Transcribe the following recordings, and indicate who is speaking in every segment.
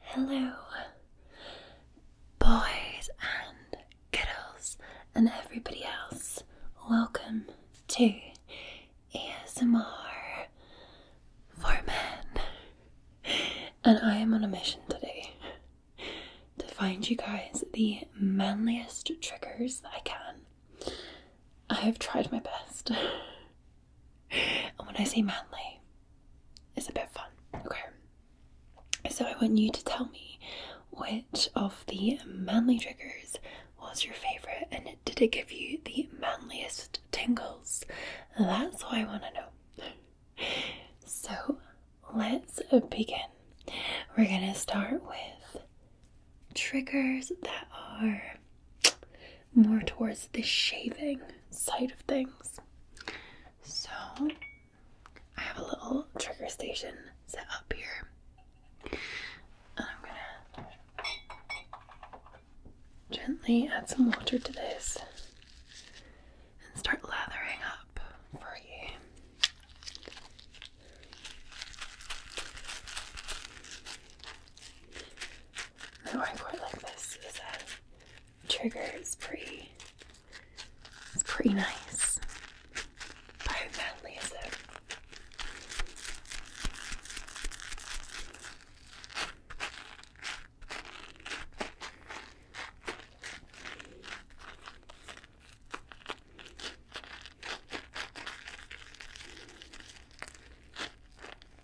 Speaker 1: Hello, boys and girls, and everybody else. Welcome to ASMR for Men. And I am on a mission today to find you guys the manliest triggers I can. I have tried my best. And when I say manly, it's a bit fun, okay? So I want you to tell me which of the manly triggers was your favourite and did it give you the manliest tingles? That's what I want to know. So let's begin. We're going to start with triggers that are more towards the shaving side of things. So I have a little trigger station set up here. And I'm gonna gently add some water to this and start lathering up for you. Now I quite like this as a trigger. It's pretty. It's pretty nice. how manly is it?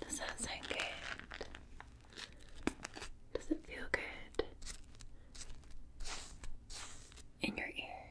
Speaker 1: Does that sound good? Does it feel good in your ear?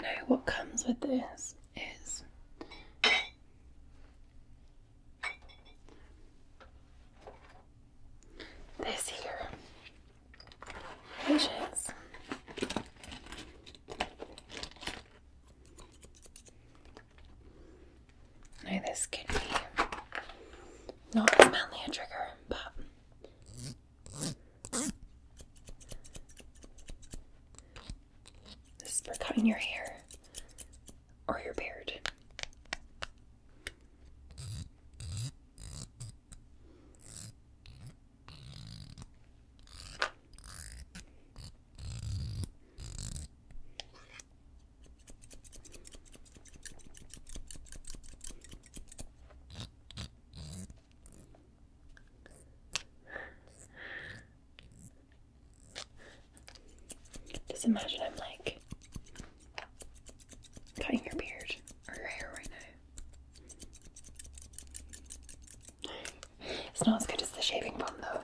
Speaker 1: Now, what comes with this is this here, which is now this could be not as manly a trigger, but this is for cutting your hair or your beard. Just imagine I'm like cutting your beard or your hair right now. It's not as good as the shaving foam though.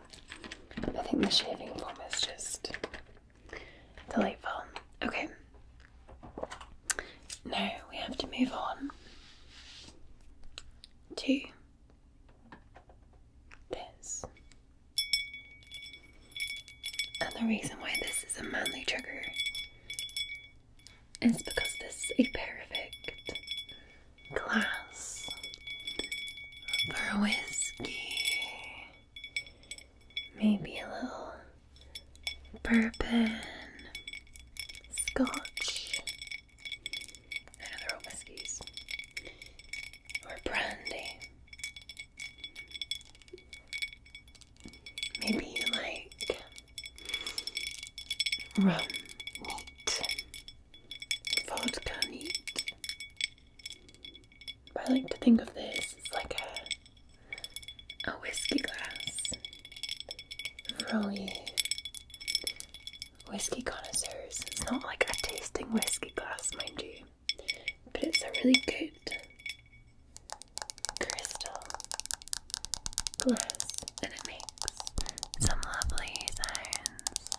Speaker 1: I think the shaving foam is just Delightful. Okay. Now we have to move on to this. And the reason why this is a manly trigger is because this is a perfect glass for whiskey maybe a little bourbon, scotch, I know they're all whiskies, or brandy. Maybe you like rum neat, vodka neat, I like to think of this as like a, a whiskey glass for you whiskey connoisseurs. It's not like a tasting whiskey glass, mind you, but it's a really good crystal glass and it makes some lovely sounds.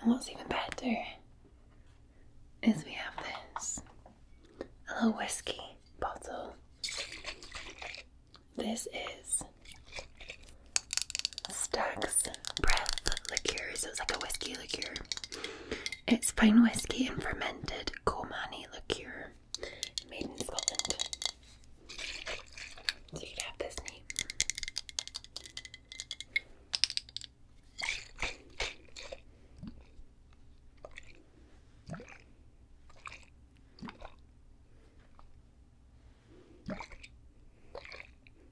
Speaker 1: And what's even better is we have this little whiskey bottle. This is Stag's Breath liqueur, so it's like a whiskey liqueur. It's fine whiskey and fermented Komani liqueur made in Scotland. you could have this neat.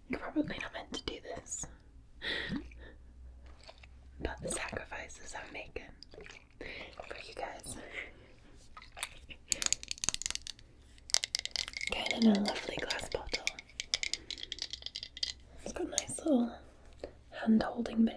Speaker 1: You're probably not meant to do this, but the sacrifices I'm making for you guys. Kind of a lovely glass bottle. It's got nice little hand holding bits.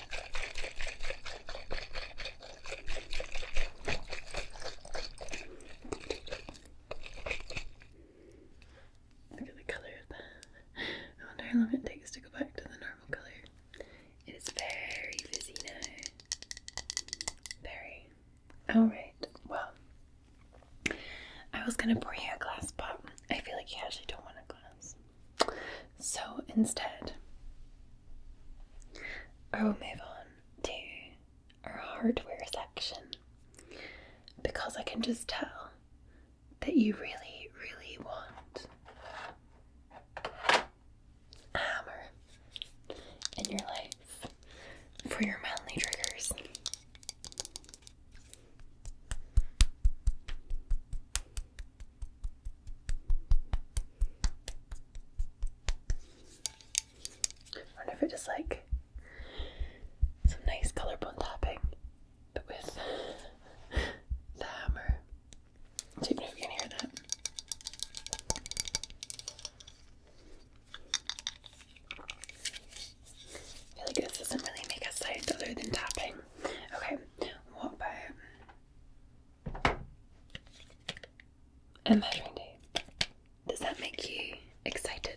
Speaker 1: Look at the color of that. I wonder how long it takes to go back to the normal color. It is very busy now. Very. Alright, well, I was gonna pour you a glass, but I feel like you actually don't want a glass. So instead, I will move on to our hardware section because I can just tell that you really, really want a hammer in your life for your manly triggers. I wonder if it just like some nice collarbone tapping, but with the hammer. I don't know if you can hear that. I feel like this doesn't really make a sound other than tapping. Okay, what about a measuring Does that make you excited?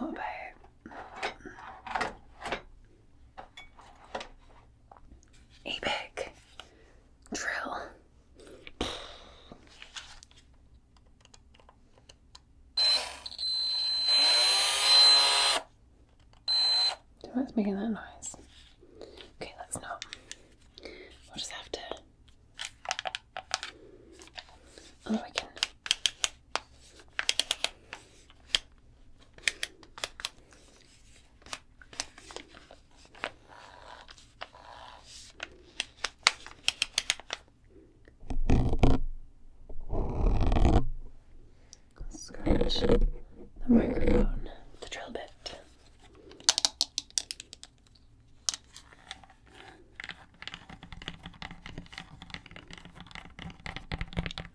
Speaker 1: what about a drill. So that's making that noise. Okay, let's not. We'll just have to. Oh, I can Scratch the microphone, the drill bit.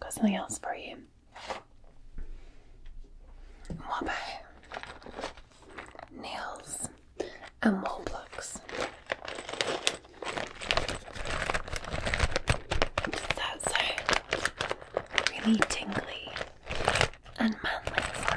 Speaker 1: got something else for you. What nails and wall blocks? Does really tingly and manly for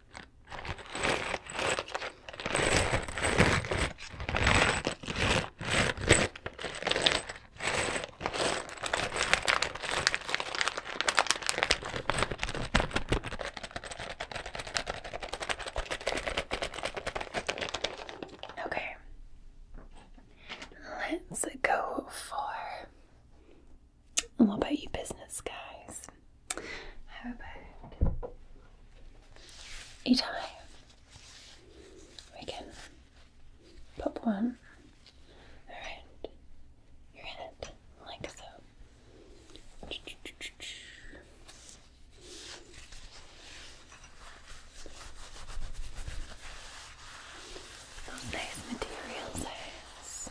Speaker 1: Okay, let's go for and what about you, business guys? How about each eye? We can pop one around your head like so. Those nice material sounds.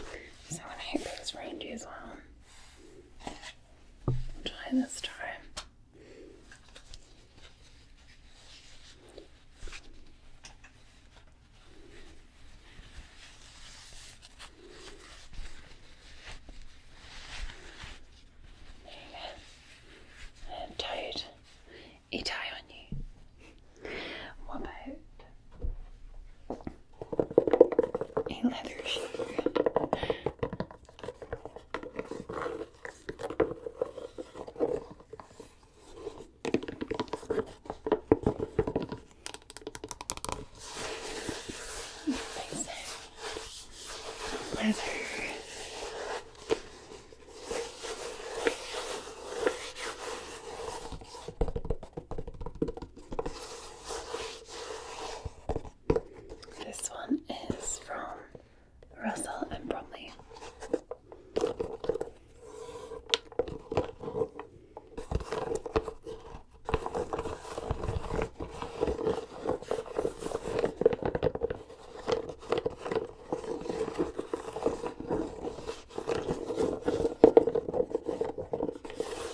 Speaker 1: Okay. So I hope it's reindeer well. I'll try this time. There you on you. What about a leather shoe. Leather. This one is from Russell and Bromley.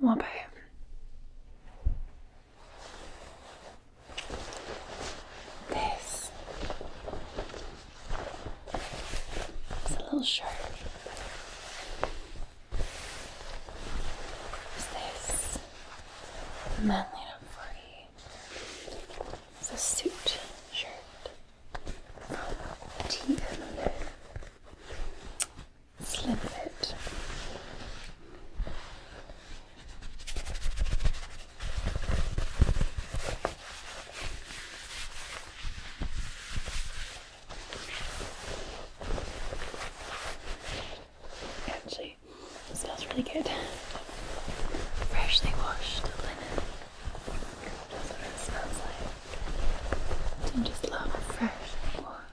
Speaker 1: 我呗。This is a little sharp. Is this manly enough for you? It's a suit shirt from TMU. Slip fit. Actually, it smells really good. Freshly washed That's what it smells like. I just love freshly washed.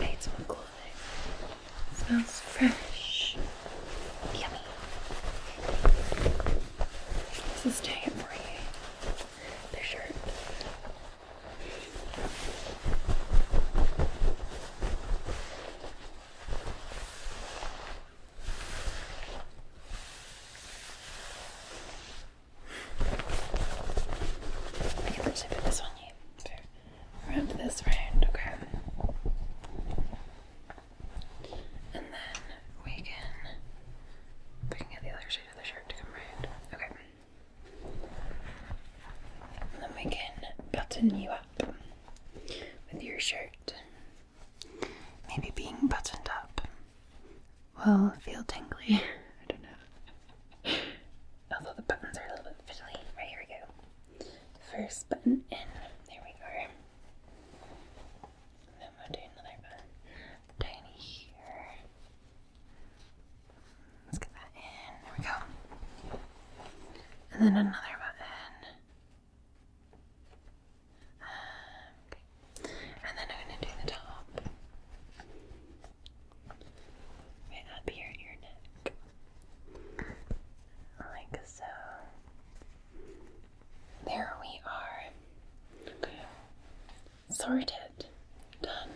Speaker 1: Made some clothing. Smells fresh. Yummy. This is doing it shirt. I can literally put this on you. wrap this round, okay? And then we can we can get the other shade of the shirt to come round. Okay. And then we can button you up with your shirt Maybe being buttoned up will feel tingly. I don't know. Although the buttons are a little bit fiddly. Right, here we go. First button in. There we are. then we'll do another button down here. Let's get that in. There we go. And then another button. And then I'm going to do the top. Right up here at your neck. Like so. There we are. Sorted. Done.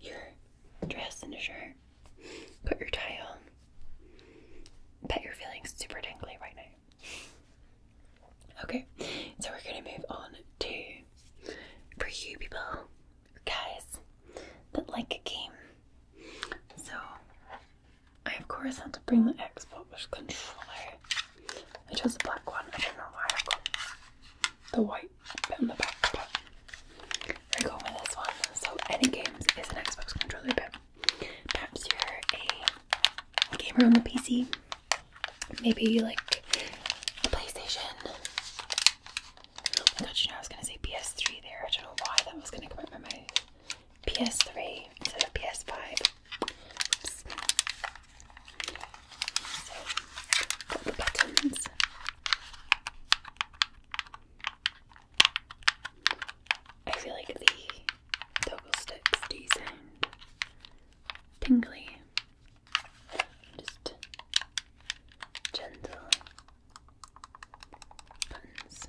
Speaker 1: Your dress and your shirt. Put your tie on. Bet you're feeling super tingly right now. Okay, so we're gonna move on to for you people, guys that like a game. So I of course had to bring the Xbox controller. I chose the black one. I don't know why I got the white bit on the back, but we're going with this one. So any games is an Xbox controller, but perhaps you're a gamer on the PC. Maybe like the PlayStation. Oh my god, you know, I was gonna say PS3 there. I don't know why that was gonna come out my mouth. PS3 instead of PS5. I feel like the toggle sticks do sound tingly. Just gentle buttons.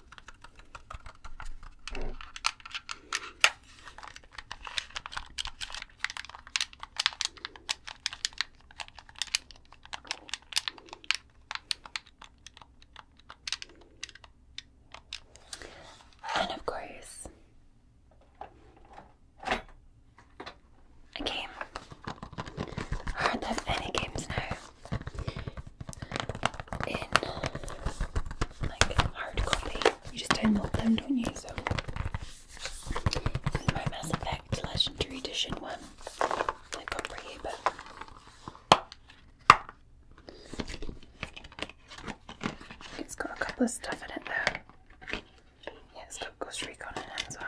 Speaker 1: And of course, a game. Aren't there any games now? in like hard copy. You just download them, don't you? So this my Mass Effect Legendary Edition one. I got for you, but. It's got a couple of stuff in it there. Yeah, got Ghost Recon in it as well.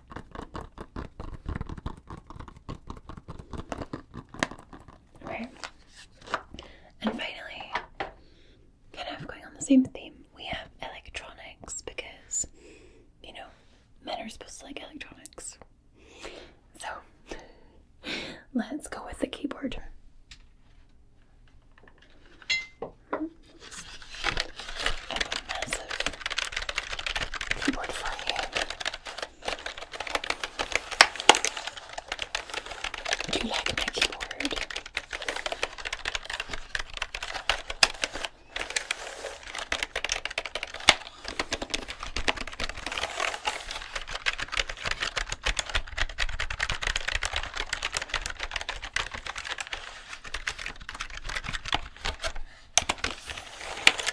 Speaker 1: Right. And finally, kind of going on the same theme, we have electronics because, you know, men are supposed to like electronics. So, let's go with the keyboard. massive keyboard for you. Do you like my keyboard?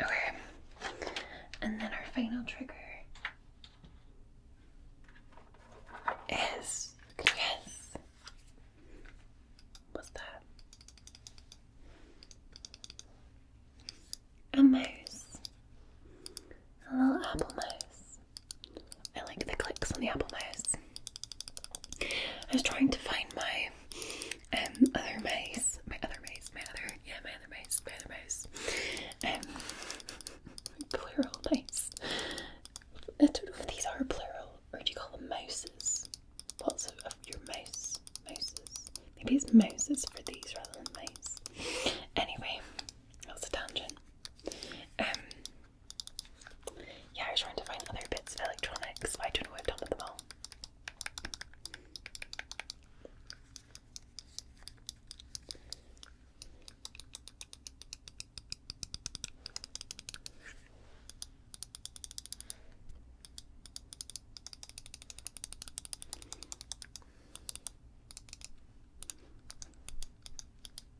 Speaker 1: Okay. And then our final trigger is yes. What's that? A mouse. A little apple mouse. I like the clicks on the apple mouse. I was trying to find my um other mice, my other mice, my other yeah, my other maze, my other maze, um, plural maze. I don't know if these are plural What do you call them mouses? Lots of, your mouse, mouses. Maybe it's mouses for these rather than mice. Anyway, that's a tangent. Um, yeah, I was trying to find other bits of electronics, I don't know what I've done with them all.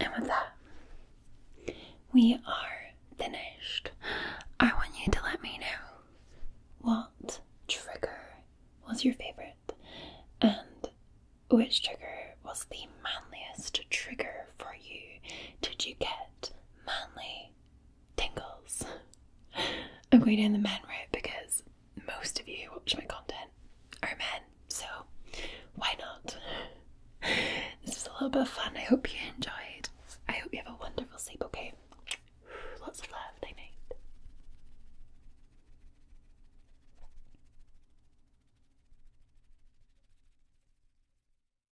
Speaker 1: And with that, we are finished. I want you to let me know what trigger was your favorite and which trigger was the manliest trigger for you. Did you get manly tingles. I'm going down the men route because most of you who watch my content are men, so why not? This is a little bit of fun. I hope you enjoyed. I hope you have a wonderful sleep, okay? Lots of love. Night